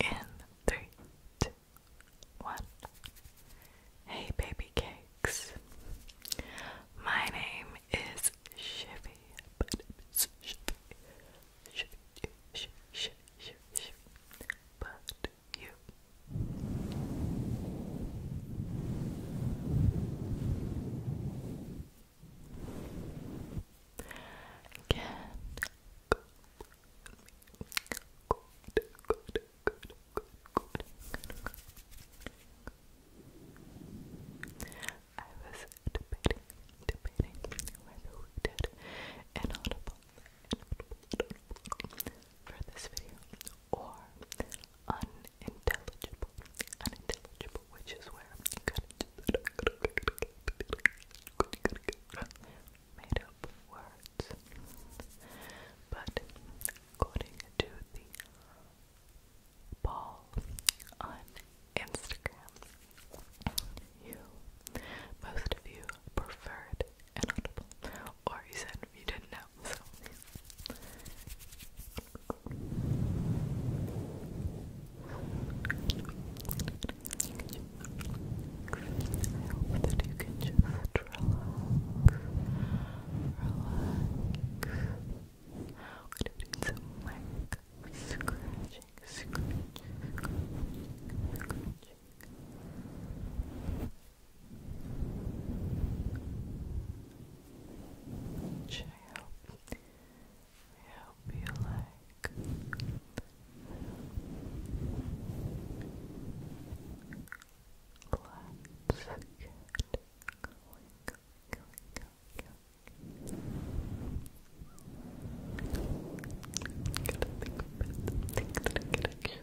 In three, two, one. Hey, baby cakes. My name is Shifty you. Again. Good. Good, good, good, good, good, good. I was debating, debating whether we did an audible for this video or unintelligible, unintelligible, which is where you made up words. But according to the ball on Instagram, you most of you preferred an or you said you didn't know. So. I hope that you can just relax, relax. do some like scratching, scratching. Which I hope, I you like. Let's get going, going, going, going. Gotta think think that I can actually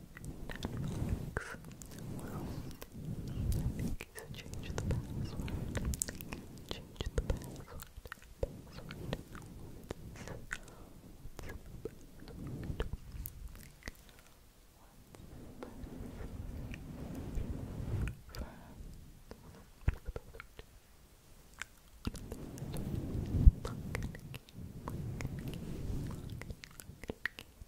Netflix. Well, I think you should change the password. I think you should change the password. Password. What's, what's the password? What's the password? Lock and key, lock and key, lock and key, lock and key,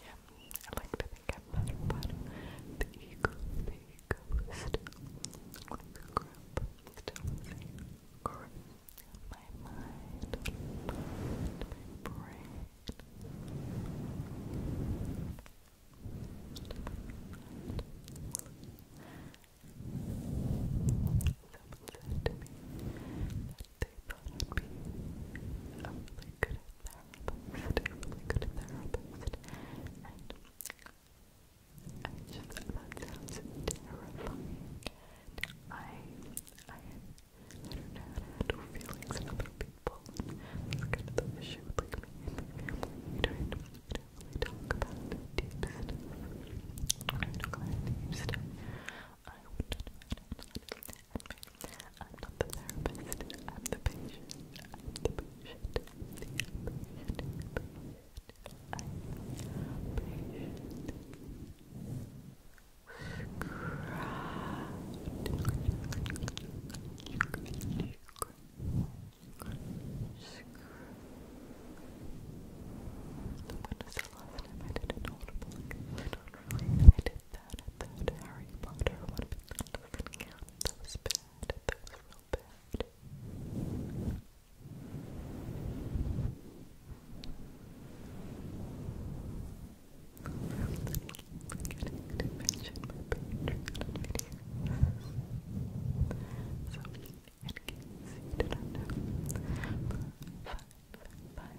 Yeah, I like to think I'm better, but the ego, the ego the grip, still my mind, my brain. Someone said to me that they thought I'd really good therapist, a really good therapist, that sounds and I, I, don't know how to handle feelings like, me and my family, don't, we don't really talk about I don't know how to deep stuff, I wouldn't know how to handle I'm not the therapist, I'm the patient, I'm the patient, the patient, patient, I'm patient. Scratch. When was the last I did an audible? I don't really, I did bad, Harry Potter. That was bad. That was real bad. getting to So, in case you didn't five, five, five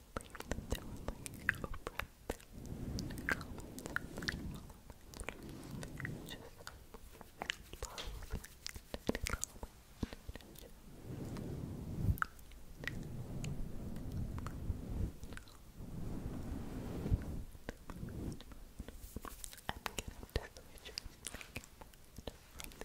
believe there were like over a million comments on that following. Just probably didn't comment. I'm gonna have to switch from the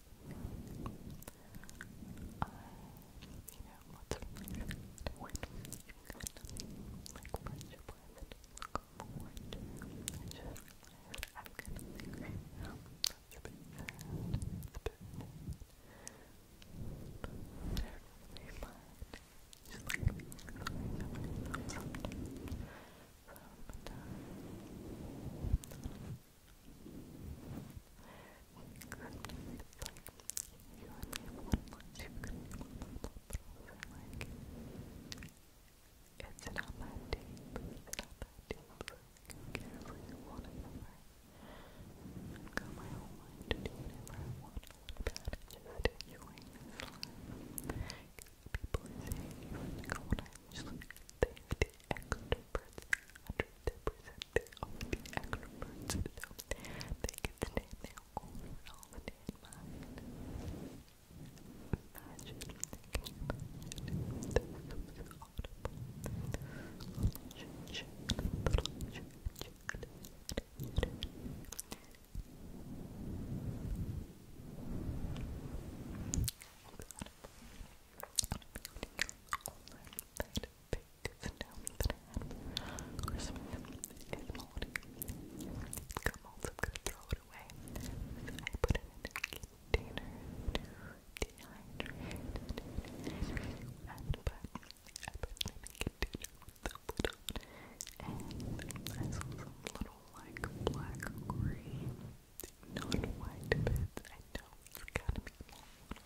I, you know, what's when you kind of like friendship with it, look forward gonna think right now. That's a bit sad, it's a bit sad. But I don't really mind. Just like being it's not that deep, it's not that deep, who cares what you want it got my whole life to do whatever I want, about it, just enjoying People are you want to go on, I'm just like, they're the extroverts, percent birthday of the extroverts, they can stay there all in mind. Imagine thinking about it. This was audible. Little that big I am gonna throw it away. I put it in a container I put it in a container with a lid and I saw some little like black green not white bits. I know it's to be long.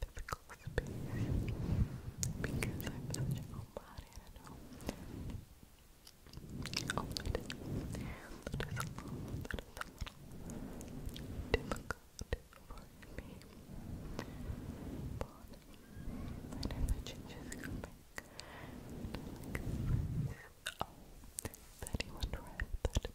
physical because I'm such a homebody, I Oh, That is a little, that is a little difficult for me. But I know that changes coming. Oh, that you want that.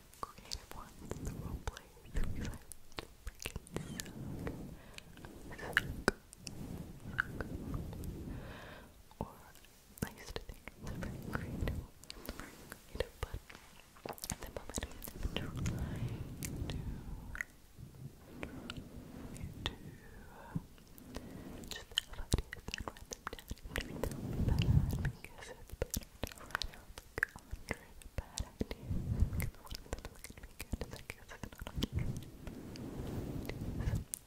creative ones, role players who we like to freaking suck. Suck. Suck. Or I used to think it's very creative, very creative, but at the moment I'm trying to to just have ideas and write them down. It because it's better to write out like hundred a bad idea. Because the one that was gonna be good is I guess it's not hundred.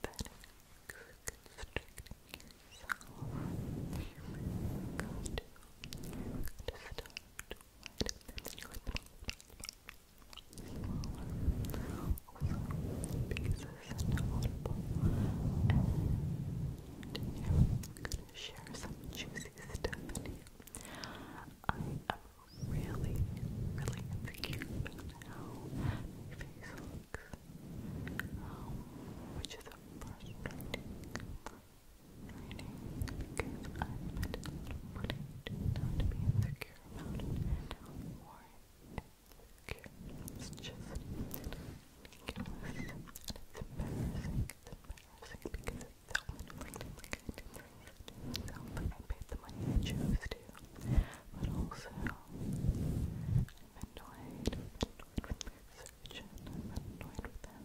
That is constricting yourself. You've got to, you've got to start wide and then you're smaller. Also, pieces and audible. And yeah, good share some juicy stuff I am um, really, really insecure about my face looks, um, which is a frustrating, frustrating because I'm a little to be insecure about it, or insecure. It's just ridiculous. And because it's so Like, I paid the money chose to. But also, annoyed. with my research, annoyed with them.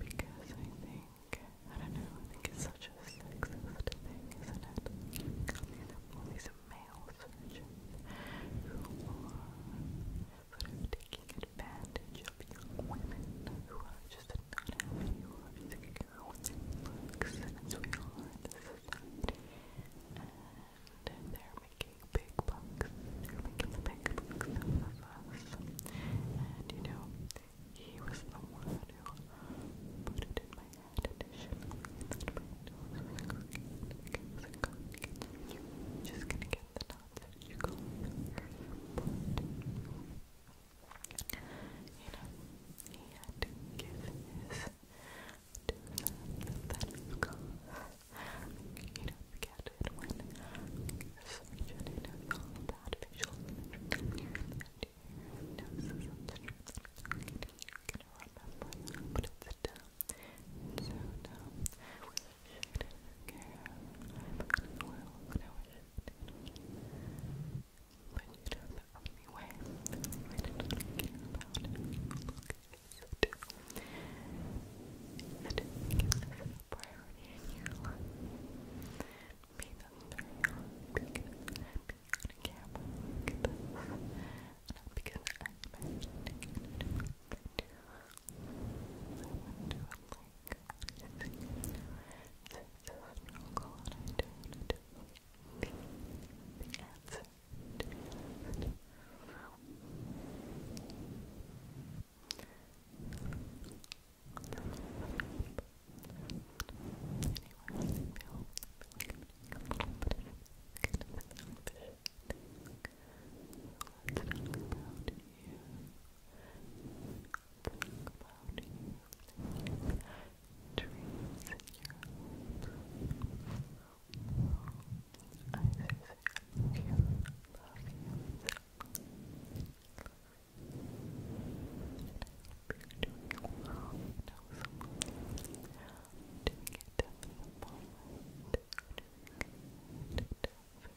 Because I think, I don't know, I think it's such a sexist thing, isn't it? All all these male surgeons who are sort of taking advantage of young women who are just not happy or they're making big bucks. They're making the big bucks of us. And you know, he was the one who put it in my head that my just gonna get the surgical You know, he had to give his two sons that is gone. You know, forget it when the you knows all about visual imagery and noses and stuff. i gonna remember that, but it's dumb. so shift care. I'm gonna well, I'm going But you know, the only way, the only way not care about it, look is to and to make this a priority in your life. because I'm being on because I'm imagining it, I went to a lake. It's a struggle and I don't know the, the answer to be honest. Anyway, I feel, I feel like I'm being a little bit, kind of a little bit, I think Let's talk about you. let about you. Dreams in your hopes. I sincerely love you. Love you. I hope you're doing I know some of you are doing it tough at it tough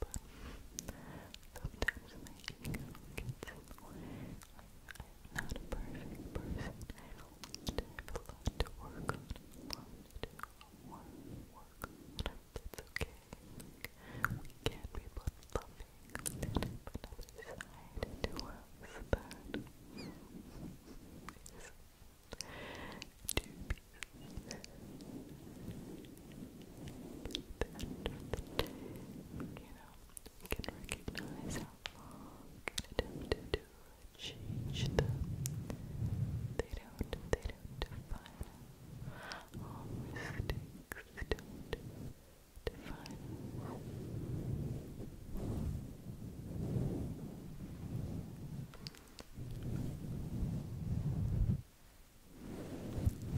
but sometimes my ego gets in the I'm not a perfect person. I do to work on, to do, a work on. okay. we can be both loving and have another side to us that is you know, we can recognize how long an attempt do change them. They don't, they don't define us. All don't define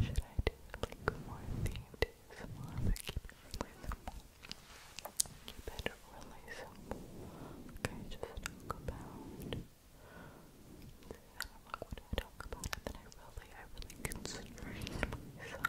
should I do like more themed ASMR but keep it really simple? Keep it Okay, just talk about I don't know I talk about then I really, I really constrain myself. I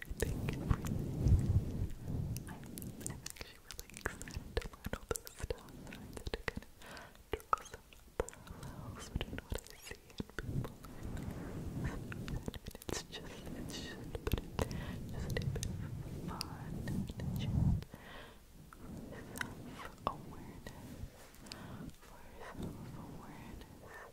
everything, everything. I'm, i really excited about all this stuff. I need to kind of draw some parallels between what I see and people. it's just, it's just, but it's just a fun and just self-awareness. For self-awareness.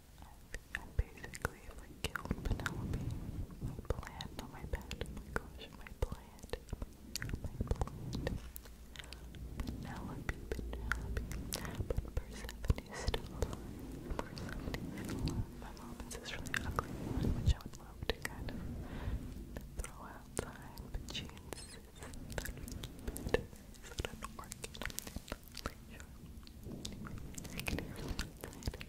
and basically if I killed Penelope, my plant on my bed, oh my gosh, my plant, my plant, Penelope, Penelope, but Persephone is still alive, Persephone is still alive, my mom is this really ugly one which I would love to kind of throw outside, but keep it as an organ, i anyway, I can hear really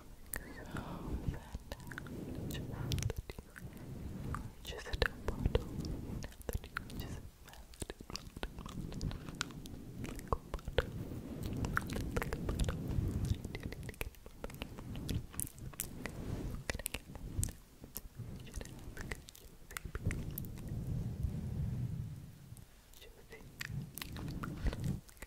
So fantastic. Now that you are just a bottle. Now that you are just melted, melted, melted. Like a bottle. Melted like a bottle. I do need to get a bottle. Can I get one? You should have a good juicy, juicy.